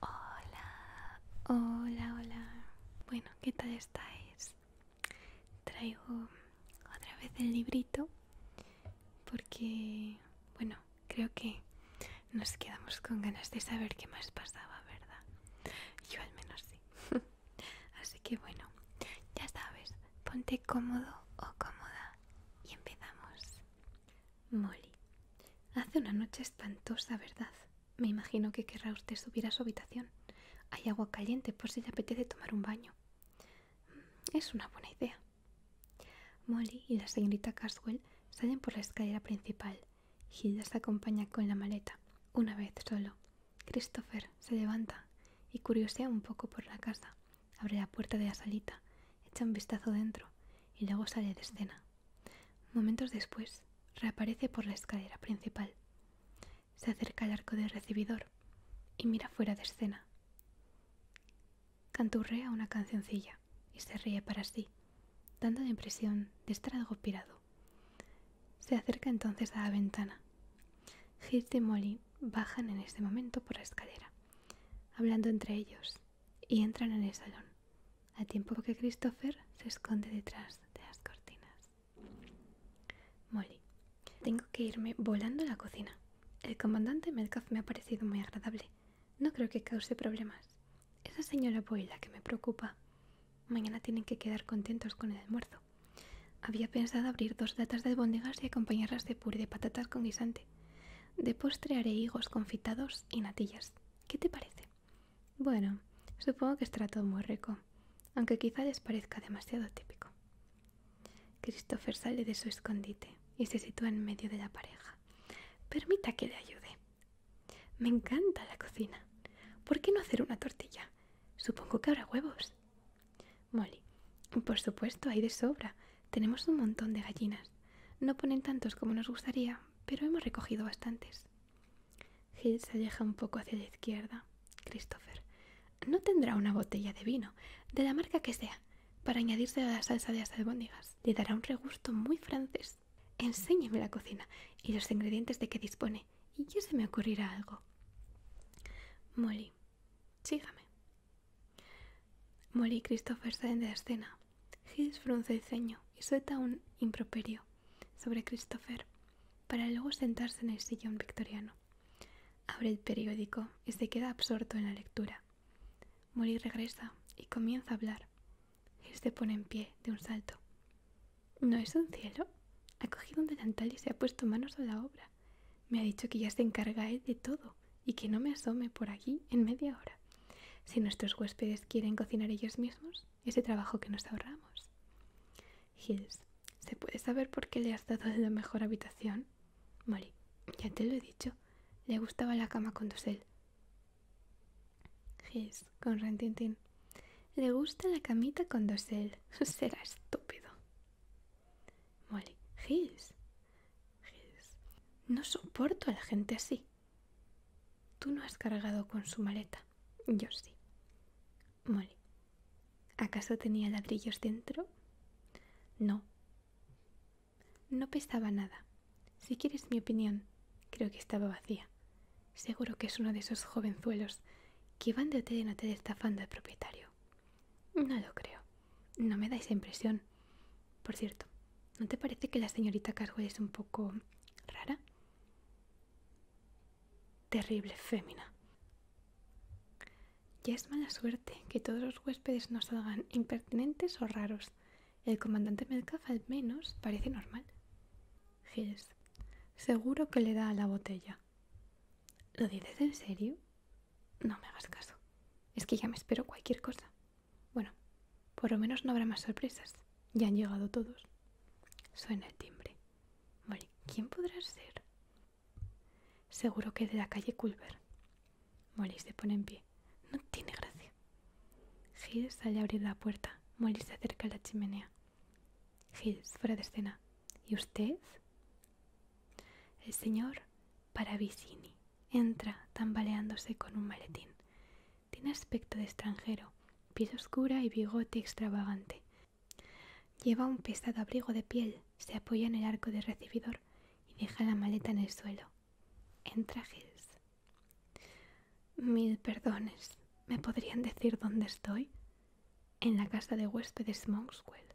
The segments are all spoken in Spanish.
Hola, hola, hola. Bueno, ¿qué tal estáis? Traigo otra vez el librito porque, bueno, creo que nos quedamos con ganas de saber qué más pasaba, ¿verdad? Yo al menos sí. Así que bueno, ya sabes, ponte cómodo o cómoda y empezamos. Molly. Hace una noche espantosa, ¿verdad? Me imagino que querrá usted subir a su habitación. Hay agua caliente por si le apetece tomar un baño. Mm, es una buena idea. Molly y la señorita Caswell salen por la escalera principal. Hilda se acompaña con la maleta, una vez solo. Christopher se levanta y curiosea un poco por la casa. Abre la puerta de la salita, echa un vistazo dentro y luego sale de escena. Momentos después, reaparece por la escalera principal. Se acerca al arco del recibidor y mira fuera de escena. Canturrea una cancioncilla y se ríe para sí, dando la impresión de estar algo pirado. Se acerca entonces a la ventana. Hirst y Molly bajan en este momento por la escalera, hablando entre ellos, y entran en el salón a tiempo que Christopher se esconde detrás de las cortinas. Molly, tengo que irme volando a la cocina. El comandante Metcalf me ha parecido muy agradable. No creo que cause problemas. Esa señora Boyla que me preocupa. Mañana tienen que quedar contentos con el almuerzo. Había pensado abrir dos latas de albóndigas y acompañarlas de puré de patatas con guisante. De postre haré higos confitados y natillas. ¿Qué te parece? Bueno, supongo que estará todo muy rico, aunque quizá les parezca demasiado típico. Christopher sale de su escondite y se sitúa en medio de la pareja. Permita que le ayude. Me encanta la cocina. ¿Por qué no hacer una tortilla? Supongo que habrá huevos. Molly, por supuesto, hay de sobra. Tenemos un montón de gallinas. No ponen tantos como nos gustaría, pero hemos recogido bastantes. Gil se aleja un poco hacia la izquierda. Christopher, no tendrá una botella de vino, de la marca que sea, para añadirse a la salsa de las albóndigas. Le dará un regusto muy francés. Enséñeme la cocina y los ingredientes de que dispone, y ya se me ocurrirá algo. Molly, sígame. Molly y Christopher salen de la escena. His frunce el ceño y suelta un improperio sobre Christopher, para luego sentarse en el sillón victoriano. Abre el periódico y se queda absorto en la lectura. Molly regresa y comienza a hablar. se pone en pie de un salto. ¿No es un cielo? Ha cogido un delantal y se ha puesto manos a la obra. Me ha dicho que ya se encarga de todo y que no me asome por aquí en media hora. Si nuestros huéspedes quieren cocinar ellos mismos, ese trabajo que nos ahorramos. Hills, ¿se puede saber por qué le has dado la mejor habitación? Molly, ya te lo he dicho, le gustaba la cama con dosel. Hills, con rentintín, le gusta la camita con dosel, será estúpido. Molly, Hills, Hills, no soporto a la gente así. Tú no has cargado con su maleta. Yo sí. Molly. ¿Acaso tenía ladrillos dentro? No. No pesaba nada. Si quieres mi opinión, creo que estaba vacía. Seguro que es uno de esos jovenzuelos que van de hotel en hotel estafando al propietario. No lo creo. No me dais esa impresión. Por cierto, ¿no te parece que la señorita Caswell es un poco rara? Terrible fémina. Ya es mala suerte que todos los huéspedes nos salgan impertinentes o raros. El comandante Melcalf al menos parece normal. Giles, seguro que le da a la botella. ¿Lo dices en serio? No me hagas caso. Es que ya me espero cualquier cosa. Bueno, por lo menos no habrá más sorpresas. Ya han llegado todos. Suena el timbre. Molly, ¿quién podrá ser? Seguro que de la calle Culver. Molly se pone en pie. No tiene gracia. Giles sale a abrir la puerta. Molly se acerca a la chimenea. Giles, fuera de escena. ¿Y usted? El señor para Vicini Entra, tambaleándose con un maletín. Tiene aspecto de extranjero, piel oscura y bigote extravagante. Lleva un pesado abrigo de piel, se apoya en el arco de recibidor y deja la maleta en el suelo. Entra Hills. Mil perdones. ¿Me podrían decir dónde estoy? En la casa de huéspedes Monkswell.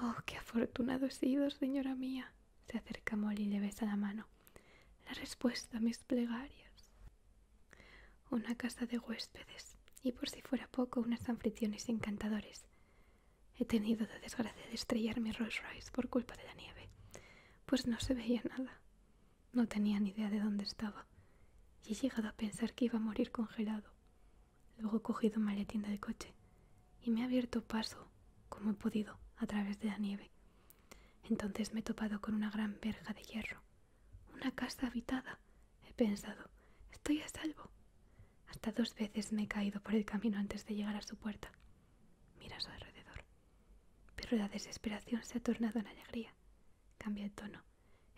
Oh, qué afortunado he sido, señora mía. Se acerca Molly y le besa la mano. La respuesta a mis plegarias. Una casa de huéspedes y por si fuera poco unas anfitriones encantadores. He tenido la desgracia de estrellar mi Rolls Royce por culpa de la nieve, pues no se veía nada. No tenía ni idea de dónde estaba y he llegado a pensar que iba a morir congelado. Luego he cogido un maletín del coche y me ha abierto paso, como he podido, a través de la nieve. Entonces me he topado con una gran verja de hierro. Una casa habitada, he pensado. Estoy a salvo. Hasta dos veces me he caído por el camino antes de llegar a su puerta. Mira su alrededor. Pero la desesperación se ha tornado en alegría. Cambia el tono.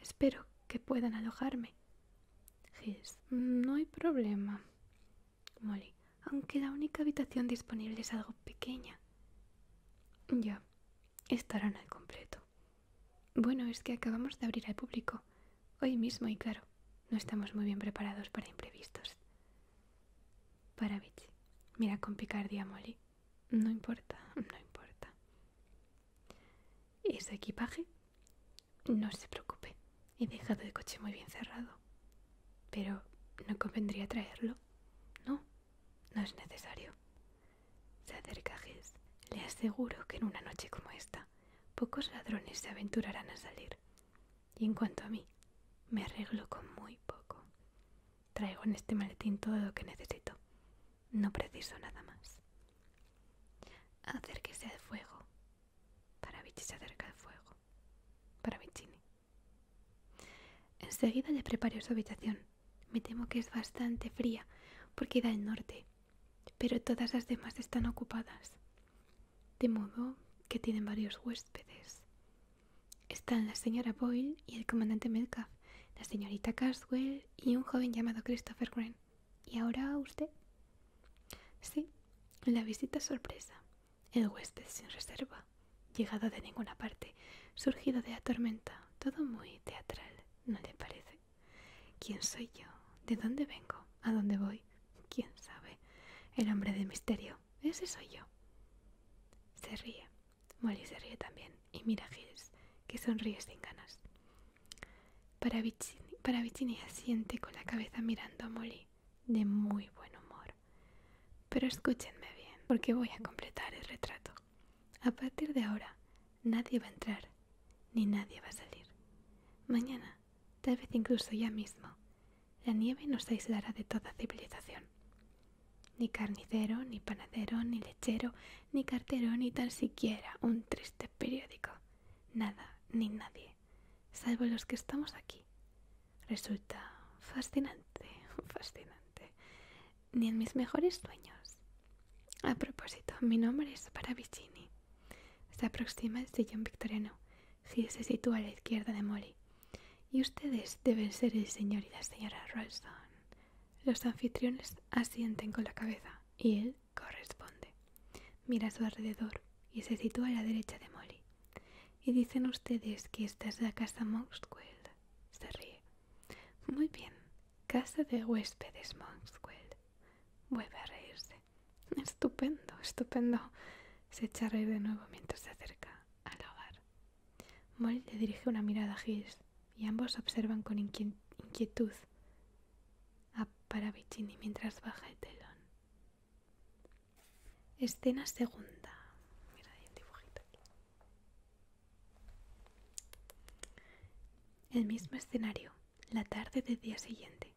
Espero que puedan alojarme. Gis, no hay problema. Molly, aunque la única habitación disponible es algo pequeña. Ya, estarán al completo. Bueno, es que acabamos de abrir al público. Hoy mismo, y claro, no estamos muy bien preparados para imprevistos. Para Paravich, mira con picardía Molly. No importa, no importa. ¿Y su equipaje? No se preocupe. He dejado el coche muy bien cerrado. Pero no convendría traerlo. No, no es necesario. Se acerca Le aseguro que en una noche como esta, pocos ladrones se aventurarán a salir. Y en cuanto a mí, me arreglo con muy poco. Traigo en este maletín todo lo que necesito. No preciso nada más. Acérquese al fuego. Para Vichy se acerca al fuego. Para bichini Enseguida le preparé su habitación. Me temo que es bastante fría porque da el norte, pero todas las demás están ocupadas. De modo que tienen varios huéspedes. Están la señora Boyle y el comandante medcalf, la señorita Caswell y un joven llamado Christopher green, ¿Y ahora usted? Sí, la visita sorpresa el huésped sin reserva, llegado de ninguna parte, surgido de la tormenta, todo muy teatral, ¿no le parece? ¿Quién soy yo? ¿De dónde vengo? ¿A dónde voy? ¿Quién sabe? El hombre de misterio, ese soy yo. Se ríe. Molly se ríe también y mira a que sonríe sin ganas. Para para asiente con la cabeza mirando a Molly, de muy buen humor. Pero escúchenme bien, porque voy a completar el retrato. A partir de ahora, nadie va a entrar, ni nadie va a salir. Mañana, tal vez incluso ya mismo, la nieve nos aislará de toda civilización. Ni carnicero, ni panadero, ni lechero, ni cartero, ni tal siquiera un triste periódico. Nada, ni nadie salvo los que estamos aquí. Resulta fascinante, fascinante. Ni en mis mejores sueños. A propósito, mi nombre es Paravicini. Se aproxima el sillón victoriano. si se sitúa a la izquierda de Molly. Y ustedes deben ser el señor y la señora Ralston. Los anfitriones asienten con la cabeza y él corresponde. Mira a su alrededor y se sitúa a la derecha de Molly. Y dicen ustedes que esta es la casa Monkswell. Se ríe. Muy bien, casa de huéspedes Monkswell. Vuelve a reírse. Estupendo, estupendo. Se echa a reír de nuevo mientras se acerca al hogar. Molly le dirige una mirada a Hills y ambos observan con inquietud a Paravicini mientras baja el telón. Escena segunda. dibujito El mismo escenario, la tarde del día siguiente.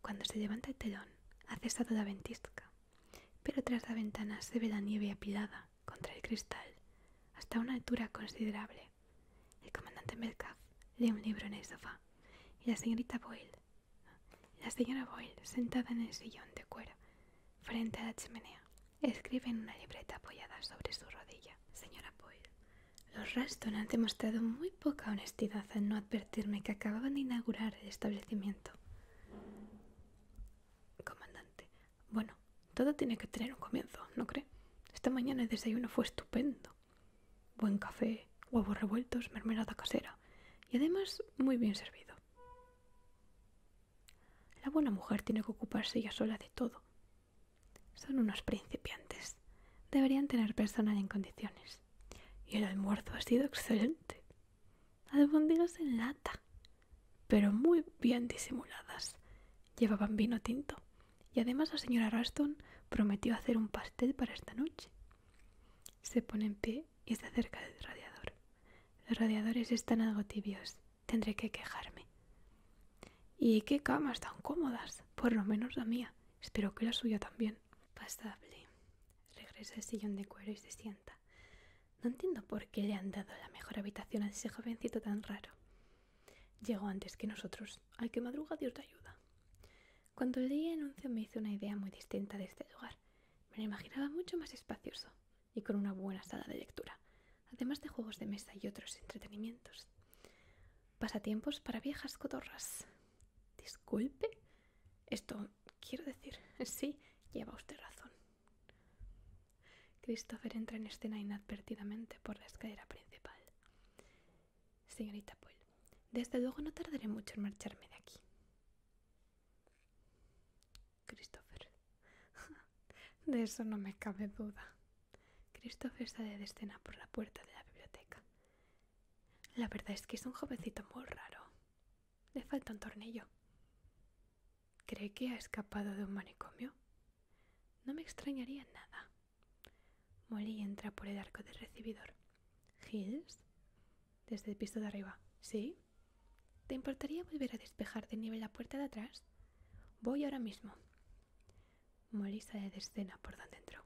Cuando se levanta el telón, ha cesado la ventisca, pero tras la ventana se ve la nieve apilada contra el cristal hasta una altura considerable. El comandante Metcalf lee un libro en el sofá y la señorita Boyle la señora Boyle, sentada en el sillón de cuero, frente a la chimenea, escribe en una libreta apoyada sobre su rodilla. Señora Boyle, los Raston han demostrado muy poca honestidad al no advertirme que acababan de inaugurar el establecimiento. Comandante, bueno, todo tiene que tener un comienzo, ¿no cree? Esta mañana el desayuno fue estupendo. Buen café, huevos revueltos, mermelada casera y además muy bien servido. La buena mujer tiene que ocuparse ella sola de todo. Son unos principiantes. Deberían tener personal en condiciones. Y el almuerzo ha sido excelente. Albóndigas en lata, pero muy bien disimuladas. Llevaban vino tinto. Y además la señora Raston prometió hacer un pastel para esta noche. Se pone en pie y se acerca del radiador. Los radiadores están algo tibios. Tendré que quejarme. ¿Y qué camas tan cómodas? Por lo menos la mía. Espero que la suya también. Pasable. Regresa al sillón de cuero y se sienta. No entiendo por qué le han dado la mejor habitación a ese jovencito tan raro. Llegó antes que nosotros. Al que madruga Dios te ayuda. Cuando leí el anuncio me hizo una idea muy distinta de este lugar. Me lo imaginaba mucho más espacioso y con una buena sala de lectura, además de juegos de mesa y otros entretenimientos. Pasatiempos para viejas cotorras. Disculpe. Esto, quiero decir, sí, lleva usted razón. Christopher entra en escena inadvertidamente por la escalera principal. Señorita Poel, desde luego no tardaré mucho en marcharme de aquí. Christopher. De eso no me cabe duda. Christopher sale de escena por la puerta de la biblioteca. La verdad es que es un jovencito muy raro. Le falta un tornillo. ¿Cree que ha escapado de un manicomio? No me extrañaría nada. Molly entra por el arco del recibidor. Hills, desde el piso de arriba. ¿Sí? ¿Te importaría volver a despejar de nieve la puerta de atrás? Voy ahora mismo. Molly sale de escena por donde entró.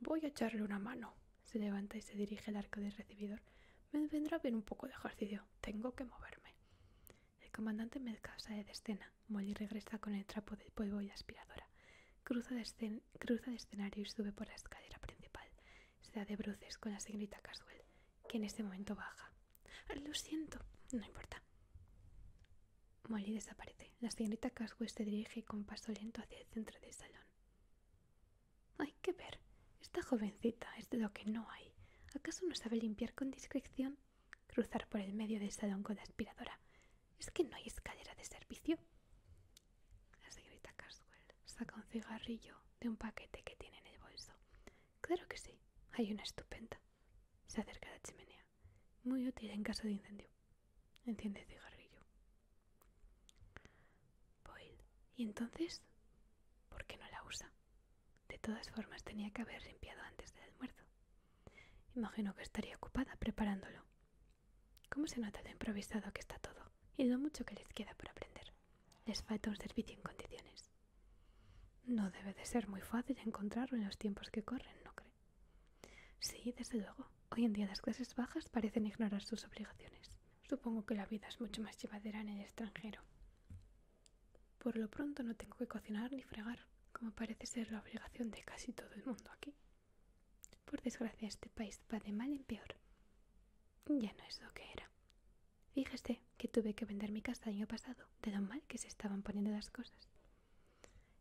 Voy a echarle una mano. Se levanta y se dirige al arco del recibidor. Me vendrá bien un poco de ejercicio. Tengo que moverme. El comandante me sale de escena. Molly regresa con el trapo de polvo y la aspiradora. Cruza de escena cruza de escenario y sube por la escalera principal. Se da de bruces con la señorita Caswell, que en este momento baja. Ah, lo siento, no importa. Molly desaparece. La señorita Caswell se dirige con paso lento hacia el centro del salón. Hay que ver. Esta jovencita es de lo que no hay. ¿Acaso no sabe limpiar con discreción? Cruzar por el medio del salón con la aspiradora. ¿Es que no hay escalera de servicio? La señorita Caswell saca un cigarrillo de un paquete que tiene en el bolso. Claro que sí, hay una estupenda. Se acerca a la chimenea. Muy útil en caso de incendio. Enciende el cigarrillo. ¿y entonces? ¿Por qué no la usa? De todas formas, tenía que haber limpiado antes del almuerzo. Imagino que estaría ocupada preparándolo. ¿Cómo se nota lo improvisado que está todo y lo mucho que les queda por aprender? Les falta un servicio en condiciones. No debe de ser muy fácil encontrarlo en los tiempos que corren, ¿no cree? Sí, desde luego. Hoy en día las clases bajas parecen ignorar sus obligaciones. Supongo que la vida es mucho más llevadera en el extranjero. Por lo pronto no tengo que cocinar ni fregar, como parece ser la obligación de casi todo el mundo aquí. Por desgracia este país va de mal en peor. Ya no es lo que era. Fíjese que tuve que vender mi casa año pasado, de lo mal que se estaban poniendo las cosas.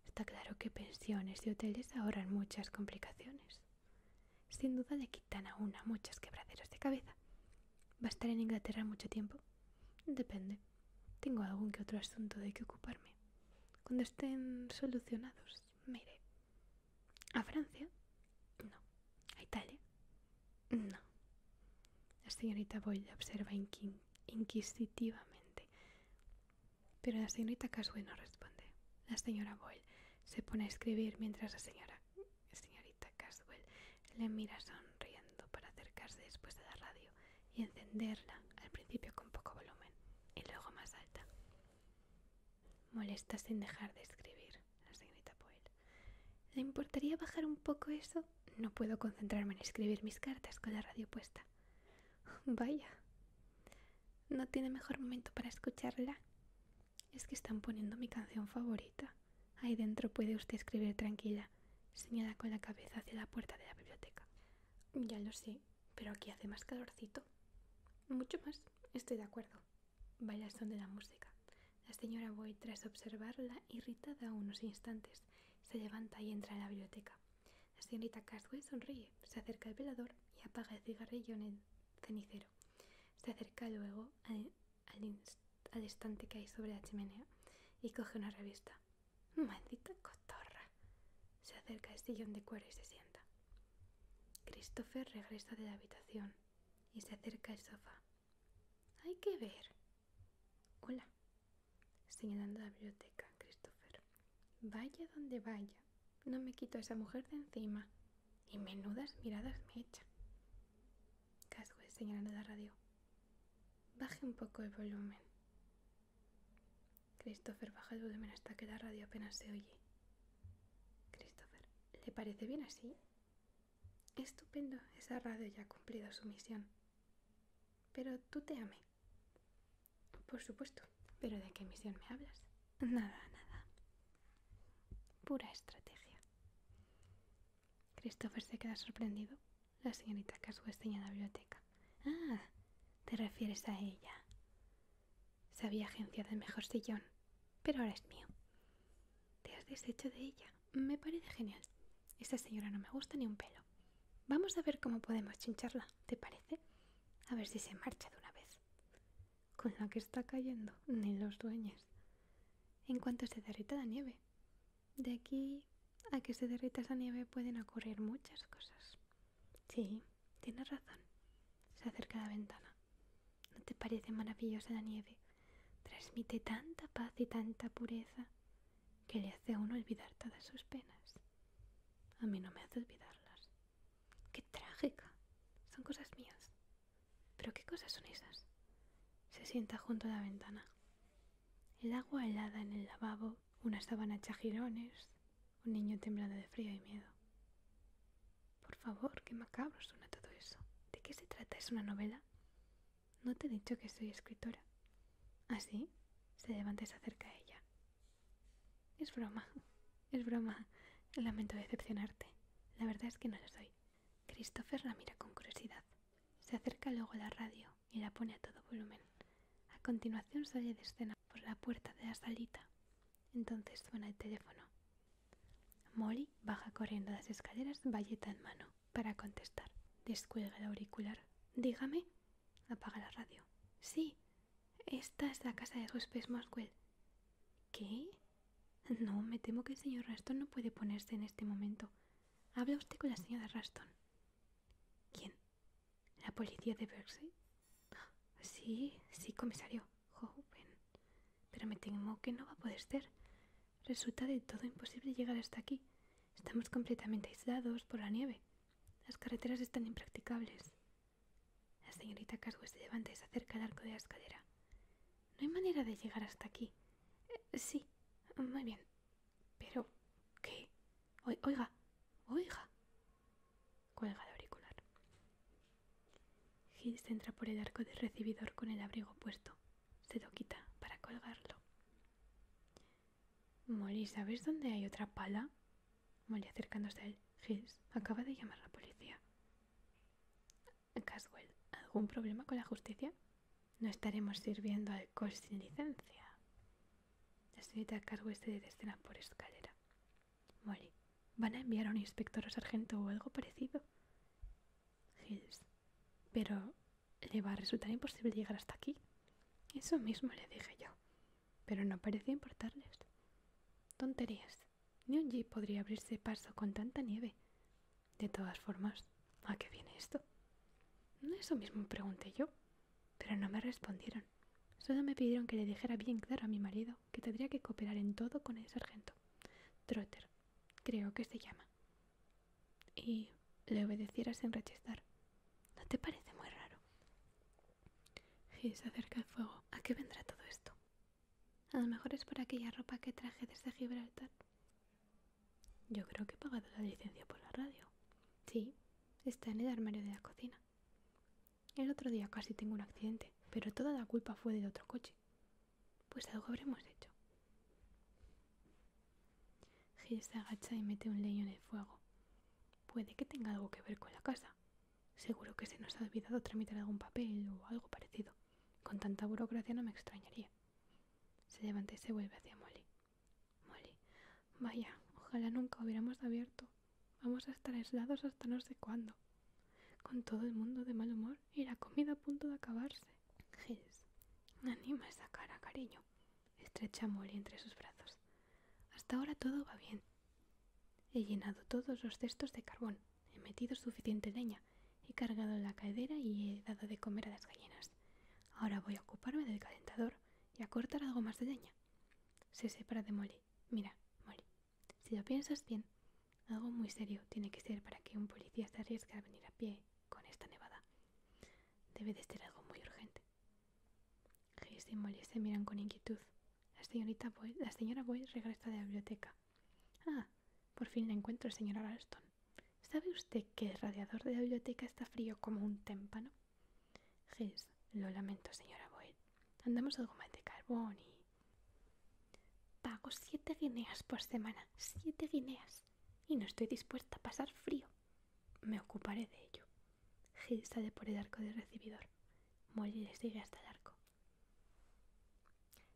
Está claro que pensiones y hoteles ahorran muchas complicaciones. Sin duda le quitan a una muchas quebraderas de cabeza. ¿Va a estar en Inglaterra mucho tiempo? Depende. Tengo algún que otro asunto de que ocuparme. Cuando estén solucionados, Mire, ¿A Francia? No. ¿A Italia? No. La señorita Boyle observa inquisitivamente. Pero la señorita Caswell no responde. La señora Boyle se pone a escribir mientras la señorita Caswell le mira sonriendo para acercarse después de la radio y encenderla al principio con poco volumen y luego más alta. Molesta sin dejar de escribir, la señorita Poel. ¿Le importaría bajar un poco eso? No puedo concentrarme en escribir mis cartas con la radio puesta. Vaya. ¿No tiene mejor momento para escucharla? Es que están poniendo mi canción favorita. Ahí dentro puede usted escribir tranquila. Señala con la cabeza hacia la puerta de la biblioteca. Ya lo sé, pero aquí hace más calorcito. Mucho más, estoy de acuerdo. Vaya son de la música. La señora Boy, tras observarla irritada unos instantes, se levanta y entra en la biblioteca. La señorita Caswell sonríe, se acerca al velador y apaga el cigarrillo en el cenicero. Se acerca luego al, estante que hay sobre la chimenea y coge una revista. ¡Maldita cotorra! Se acerca al sillón de cuero y se sienta. Christopher regresa de la habitación y se acerca al sofá. Hay que ver. Hola. Señalando la biblioteca, Christopher. Vaya donde vaya. No me quito a esa mujer de encima. Y menudas miradas me echa. Caswell señalando la radio. Baje un poco el volumen. Christopher baja el volumen hasta que la radio apenas se oye. Christopher, ¿le parece bien así? Estupendo, esa radio ya ha cumplido su misión. Pero tú te amé. Por supuesto, pero ¿de qué misión me hablas? Nada, nada. Pura estrategia. Christopher se queda sorprendido. La señorita Caswell en la biblioteca. Ah, te refieres a ella. Sabía agencia del mejor sillón, pero ahora es mío. Te has deshecho de ella. Me parece genial. Esta señora no me gusta ni un pelo. Vamos a ver cómo podemos chincharla, ¿te parece? A ver si se marcha de una vez. Con la que está cayendo, ni los dueños. En cuanto se derrita la nieve. De aquí a que se derrita esa nieve pueden ocurrir muchas cosas. Sí, tienes razón. Se acerca a la ventana. ¿No te parece maravillosa la nieve? Transmite tanta paz y tanta pureza que le hace a uno olvidar todas sus penas. A mí no me hace olvidarlas. ¡Qué trágica! Son cosas mías. ¿Pero qué cosas son esas? Se sienta junto a la ventana. El agua helada en el lavabo, una sábana chajirones, un niño temblando de frío y miedo. Por favor, qué macabro suena todo eso. ¿De qué se trata? ¿Es una novela? No te he dicho que soy escritora. Así, ¿Ah, se levanta y se acerca a ella. Es broma, es broma. Lamento decepcionarte. La verdad es que no lo soy. Christopher la mira con curiosidad. Se acerca luego a la radio y la pone a todo volumen. A continuación sale de escena por la puerta de la salita. Entonces suena el teléfono. Molly baja corriendo las escaleras, valleta en mano, para contestar. Descuelga el auricular. Dígame. Apaga la radio. Sí, esta es la casa de huéspedes Moswell. ¿Qué? No, me temo que el señor Raston no puede ponerse en este momento. Habla usted con la señora Raston. ¿Quién? ¿La policía de Bersey. Sí, sí, comisario, joven. Pero me temo que no va a poder ser. Resulta de todo imposible llegar hasta aquí. Estamos completamente aislados por la nieve. Las carreteras están impracticables. La señorita Caswell se levanta y se acerca al arco de la escalera. No hay manera de llegar hasta aquí. Eh, sí, muy bien. Pero, ¿qué? oiga, oiga. Cuelga el auricular. Hills entra por el arco del recibidor con el abrigo puesto. Se lo quita para colgarlo. Molly, ¿sabes dónde hay otra pala? Molly acercándose a él. Hills acaba de llamar a la policía. Caswell, ¿algún problema con la justicia? No estaremos sirviendo alcohol sin licencia. La a cargo este de escena por escalera. Molly, ¿van a enviar a un inspector o sargento o algo parecido? Hills, pero le va a resultar imposible llegar hasta aquí. Eso mismo le dije yo, pero no parecía importarles. Tonterías. Ni un jeep podría abrirse paso con tanta nieve. De todas formas, ¿a qué viene esto? Eso mismo pregunté yo. Pero no me respondieron. Solo me pidieron que le dijera bien claro a mi marido que tendría que cooperar en todo con el sargento. Trotter, creo que se llama. Y le obedeciera sin rechazar. ¿No te parece muy raro? si se acerca el fuego. ¿A qué vendrá todo esto? A lo mejor es por aquella ropa que traje desde Gibraltar. Yo creo que he pagado la licencia por la radio. Sí, está en el armario de la cocina. El otro día casi tengo un accidente, pero toda la culpa fue del otro coche. Pues algo habremos hecho. Gil se agacha y mete un leño en el fuego. Puede que tenga algo que ver con la casa. Seguro que se nos ha olvidado tramitar algún papel o algo parecido. Con tanta burocracia no me extrañaría. Se levanta y se vuelve hacia Molly. Molly, vaya, ojalá nunca hubiéramos abierto. Vamos a estar aislados hasta no sé cuándo. Con todo el mundo de mal humor y la comida a punto de acabarse. Gilles, anima esa cara, cariño. Estrecha a Molly entre sus brazos. Hasta ahora todo va bien. He llenado todos los cestos de carbón, he metido suficiente leña, he cargado la cadera y he dado de comer a las gallinas. Ahora voy a ocuparme del calentador y a cortar algo más de leña. Se separa de Molly. Mira, Molly, si lo piensas bien, algo muy serio tiene que ser para que un policía se arriesgue a venir a pie con esta nevada. Debe de ser algo muy urgente. Gis y Molly se miran con inquietud. La, señorita Boy, la señora Boyd regresa de la biblioteca. Ah, por fin la encuentro, señora Ralston. ¿Sabe usted que el radiador de la biblioteca está frío como un témpano? Gis, lo lamento, señora Boyd. Andamos algo mal de carbón y... Pago siete guineas por semana, siete guineas. Y no estoy dispuesta a pasar frío. Me ocuparé de ello. Gil sale por el arco del recibidor. Molly le sigue hasta el arco.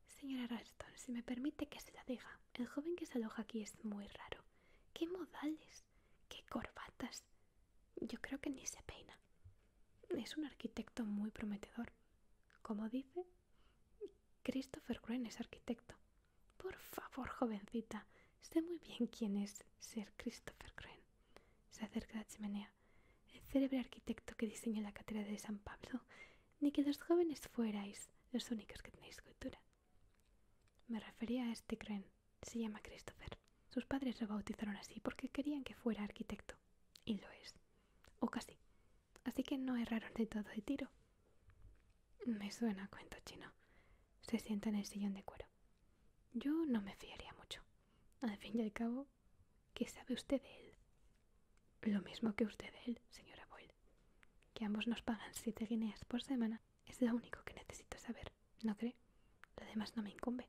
Señora Ralston, si me permite que se la diga, el joven que se aloja aquí es muy raro. ¡Qué modales! ¡Qué corbatas! Yo creo que ni se peina. Es un arquitecto muy prometedor. Como dice, Christopher Wren es arquitecto. Por favor, jovencita, sé muy bien quién es ser Christopher Wren. Se acerca a la chimenea, el célebre arquitecto que diseñó la catedral de San Pablo. Ni que los jóvenes fuerais los únicos que tenéis cultura. Me refería a este Cren se llama Christopher. Sus padres lo bautizaron así porque querían que fuera arquitecto. Y lo es. O casi. Así que no erraron de todo de tiro. Me suena a cuento chino. Se sienta en el sillón de cuero. Yo no me fiaría mucho. Al fin y al cabo, ¿qué sabe usted de él? Lo mismo que usted de él, señora Boyle. Que ambos nos pagan siete guineas por semana es lo único que necesito saber, ¿no cree? Lo demás no me incumbe.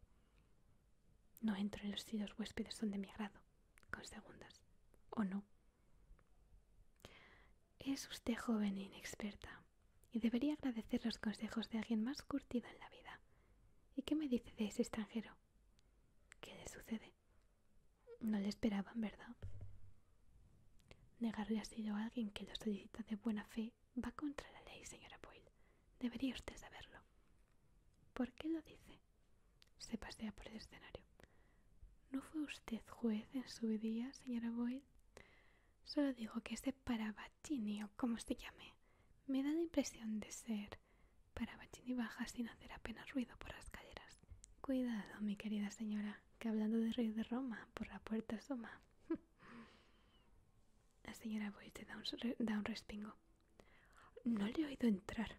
No entro en los si los huéspedes son de mi agrado, con segundas, o no. Es usted joven e inexperta, y debería agradecer los consejos de alguien más curtido en la vida. ¿Y qué me dice de ese extranjero? ¿Qué le sucede? No le esperaban, ¿verdad? Negarle asilo a alguien que lo solicita de buena fe va contra la ley, señora Boyle. Debería usted saberlo. ¿Por qué lo dice? Se pasea por el escenario. ¿No fue usted juez en su día, señora Boyle? Solo digo que ese Parabacchini, o como se llame, me da la impresión de ser Parabacchini baja sin hacer apenas ruido por las calleras. Cuidado, mi querida señora, que hablando de rey de Roma, por la puerta asoma. La señora Boyce da un, da un respingo. No le he oído entrar.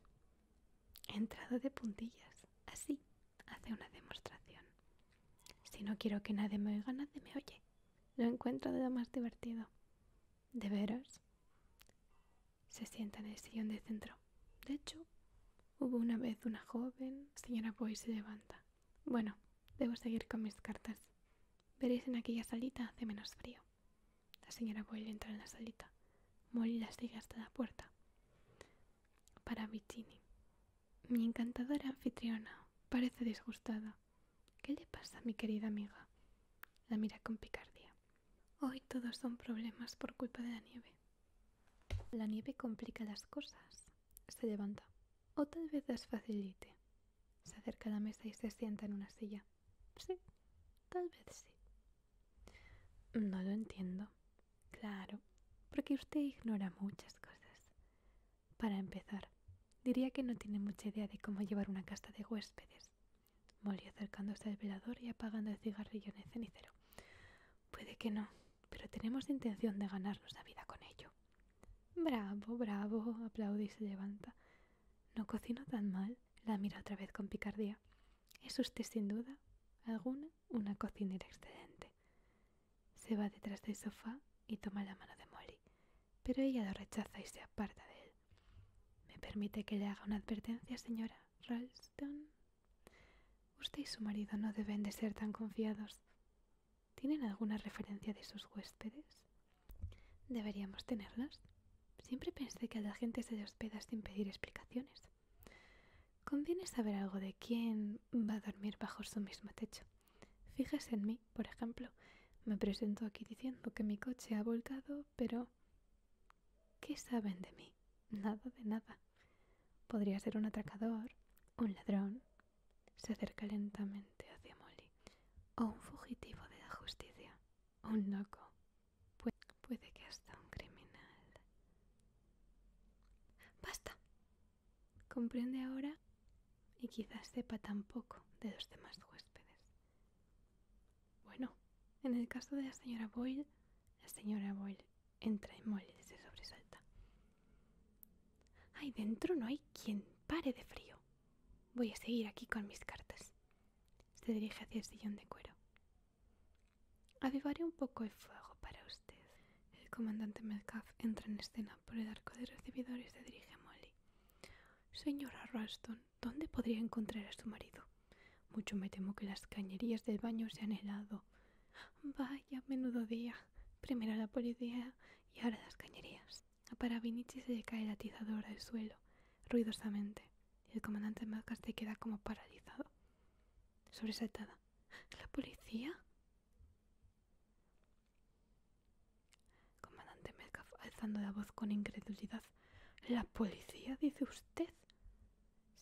He entrado de puntillas. Así hace una demostración. Si no quiero que nadie me oiga, nadie me oye. Lo encuentro de lo más divertido. ¿De veras? Se sienta en el sillón de centro. De hecho, hubo una vez una joven. Señora Boy se levanta. Bueno, debo seguir con mis cartas. Veréis en aquella salita hace menos frío. La señora Boyle entra en la salita. Molly la sigue hasta la puerta. Para Mi encantadora anfitriona parece disgustada. ¿Qué le pasa mi querida amiga? La mira con picardía. Hoy todos son problemas por culpa de la nieve. La nieve complica las cosas. Se levanta. O tal vez las facilite. Se acerca a la mesa y se sienta en una silla. Sí, tal vez sí. No lo entiendo. Claro, porque usted ignora muchas cosas. Para empezar, diría que no tiene mucha idea de cómo llevar una casa de huéspedes. Molly acercándose al velador y apagando el cigarrillo en el cenicero. Puede que no, pero tenemos intención de ganarnos la vida con ello. Bravo, bravo, aplaude y se levanta. No cocino tan mal, la mira otra vez con picardía. Es usted sin duda alguna una cocinera excelente. Se va detrás del sofá y toma la mano de Molly, pero ella lo rechaza y se aparta de él. ¿Me permite que le haga una advertencia, señora Ralston? Usted y su marido no deben de ser tan confiados. ¿Tienen alguna referencia de sus huéspedes? Deberíamos tenerlas. Siempre pensé que la gente se le hospeda sin pedir explicaciones. Conviene saber algo de quién va a dormir bajo su mismo techo. Fíjese en mí, por ejemplo. Me presento aquí diciendo que mi coche ha volcado, pero... ¿Qué saben de mí? Nada de nada. Podría ser un atracador, un ladrón, se acerca lentamente hacia Molly. O un fugitivo de la justicia. O un loco. puede que hasta un criminal. ¡Basta! Comprende ahora y quizás sepa tampoco de los demás huéspedes. Bueno, en el caso de la señora Boyle, la señora Boyle entra y Molly se sobresalta. Ahí dentro no hay quien pare de frío. Voy a seguir aquí con mis cartas. Se dirige hacia el sillón de cuero. Avivaré un poco el fuego para usted. El comandante Metcalf entra en escena por el arco de recibidores y se dirige a Molly. Señora Ralston, ¿dónde podría encontrar a su marido? Mucho me temo que las cañerías del baño se han helado. Vaya, menudo día. Primero la policía y ahora las cañerías. Para Vinici se le cae la atizadora al suelo, ruidosamente, y el comandante Melkaf se queda como paralizado, sobresaltada. ¿La policía? Comandante Metcalf alzando la voz con incredulidad. ¿La policía, dice usted?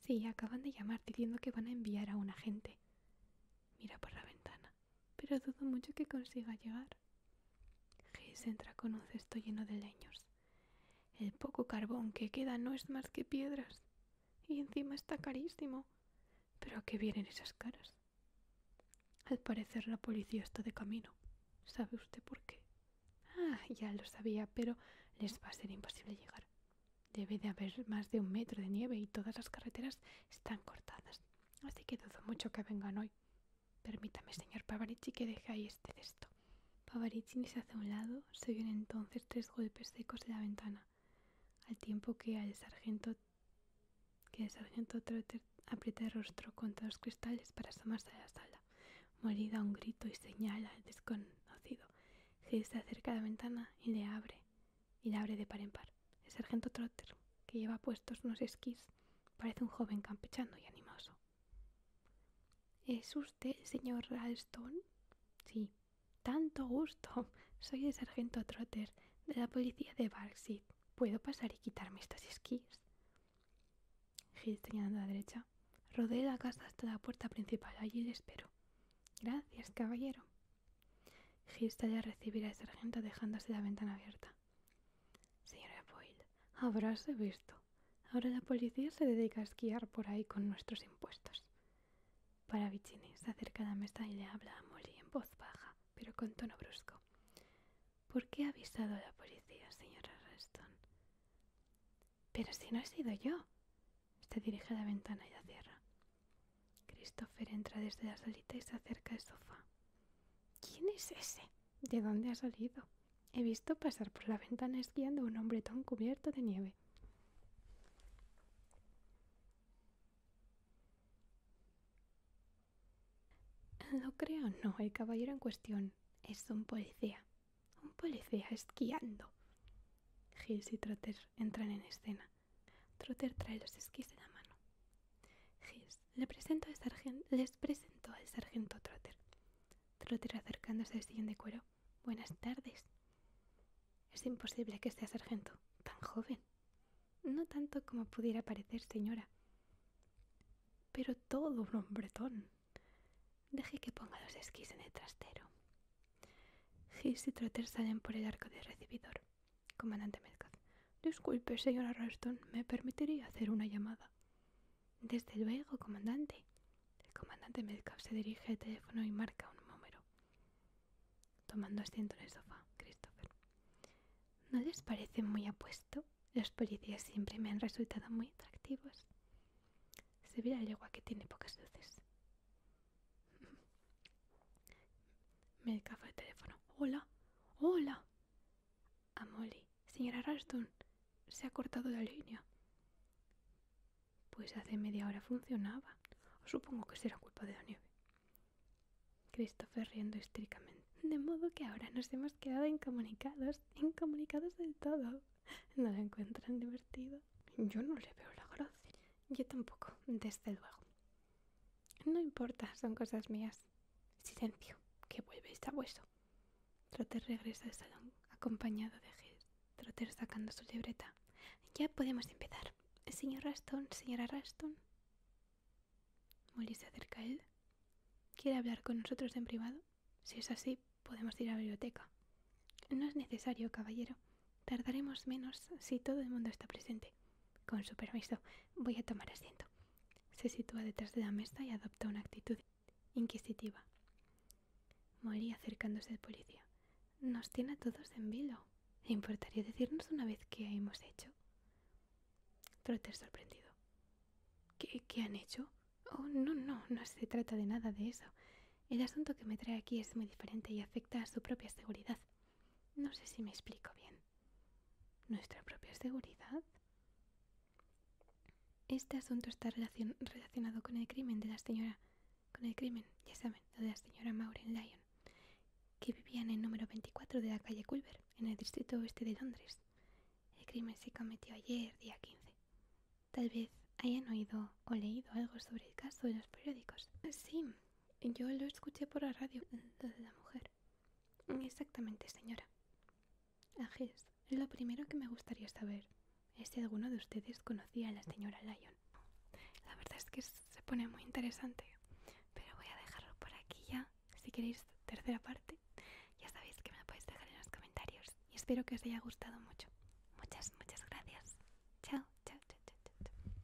Sí, acaban de llamar diciendo que van a enviar a un agente. Mira por la ventana pero dudo mucho que consiga llegar. Gis entra con un cesto lleno de leños. El poco carbón que queda no es más que piedras. Y encima está carísimo. Pero a qué vienen esas caras. Al parecer la policía está de camino. ¿Sabe usted por qué? Ah, ya lo sabía, pero les va a ser imposible llegar. Debe de haber más de un metro de nieve y todas las carreteras están cortadas así que dudo mucho que vengan hoy. Permítame, señor Pavarichi, que deje ahí este texto. Pavarichi se hace a un lado, se oyen entonces tres golpes secos de la ventana, al tiempo que el sargento Trotter aprieta el rostro contra los cristales para asomarse a la sala. morida un grito y señala al desconocido. que se acerca a la ventana y le abre y la abre de par en par. El sargento Trotter, que lleva puestos unos esquís, parece un joven campechando y animoso. ¿Es usted señor Ralston? Sí. Tanto gusto. Soy el sargento Trotter de la policía de Barkseid. ¿Puedo pasar y quitarme estos esquís? Gil señalando a la derecha. Rodé la casa hasta la puerta principal. Allí le espero. Gracias, caballero. Gibbs ya recibir al sargento dejándose la ventana abierta. Señora Boyle, habráse visto. Ahora la policía se dedica a esquiar por ahí con nuestros impuestos. para se acerca a la mesa y le habla a Molly en voz baja, pero con tono brusco. ¿Por qué ha avisado a la policía, señora Reston? Pero si no he sido yo. Se dirige a la ventana y la cierra. Christopher entra desde la salita y se acerca al sofá. ¿Quién es ese? ¿De dónde ha salido? He visto pasar por la ventana esquiando a un tan cubierto de nieve. Lo creo, no, el caballero en cuestión es un policía. Un policía esquiando. Giles y Trotter entran en escena. Trotter trae los esquís en la mano. Gis, le al sargento, les presentó al sargento Trotter. Trotter acercándose al siguiente cuero. Buenas tardes. Es imposible que sea sargento, tan joven. No tanto como pudiera parecer, señora. Pero todo un hombretón. Deje que ponga los esquís en el trastero. Gis y Trotter salen por el arco del recibidor comandante Metcalf, Disculpe, señora Ralston, ¿me permitiría hacer una llamada? Desde luego, comandante. El comandante Metcalf se dirige al teléfono y marca un número. Tomando asiento en el sofá, Christopher. ¿No les parece muy apuesto? Los policías siempre me han resultado muy atractivos. ve el agua que tiene pocas luces. Me café el teléfono. Hola, hola. A Molly. Señora Ralston, se ha cortado la línea. Pues hace media hora funcionaba. Supongo que será culpa de la nieve. Christopher riendo estricamente. De modo que ahora nos hemos quedado incomunicados, incomunicados del todo. ¿No lo encuentran divertido? Yo no le veo la gracia. Yo tampoco, desde luego. No importa, son cosas mías. Silencio, que vuelve está vueso. Trotter regresa al salón, acompañado de Gilles. Trotter sacando su libreta. Ya podemos empezar. Señor Raston, señora Raston. Molly se acerca a él. ¿Quiere hablar con nosotros en privado? Si es así, podemos ir a la biblioteca. No es necesario, caballero. Tardaremos menos si todo el mundo está presente. Con su permiso, voy a tomar asiento. Se sitúa detrás de la mesa y adopta una actitud inquisitiva. Moría acercándose al policía. Nos tiene a todos en vilo. ¿Importaría decirnos una vez qué hemos hecho? Trotter sorprendido. ¿Qué, ¿Qué, han hecho? Oh, no, no, no se trata de nada de eso. El asunto que me trae aquí es muy diferente y afecta a su propia seguridad. No sé si me explico bien. ¿Nuestra propia seguridad? Este asunto está relacionado con el crimen de la señora... Con el crimen, ya saben, de la señora Maureen Lyon, que vivía en el número 24 de la calle Culver, en el distrito oeste de Londres. El crimen se cometió ayer, día 15. Tal vez hayan oído o leído algo sobre el caso en los periódicos. Sí, yo lo escuché por la radio, mm, lo de la mujer. Mm, exactamente, señora. Agis, lo primero que me gustaría saber es si alguno de ustedes conocía a la señora Lyon. La verdad es que se pone muy interesante, pero voy a dejarlo por aquí ya. Si queréis tercera parte, ya sabéis que me lo podéis dejar en los comentarios. Y espero que os haya gustado mucho. Muchas, muchas gracias. Chao, chao, chao, chao. chao.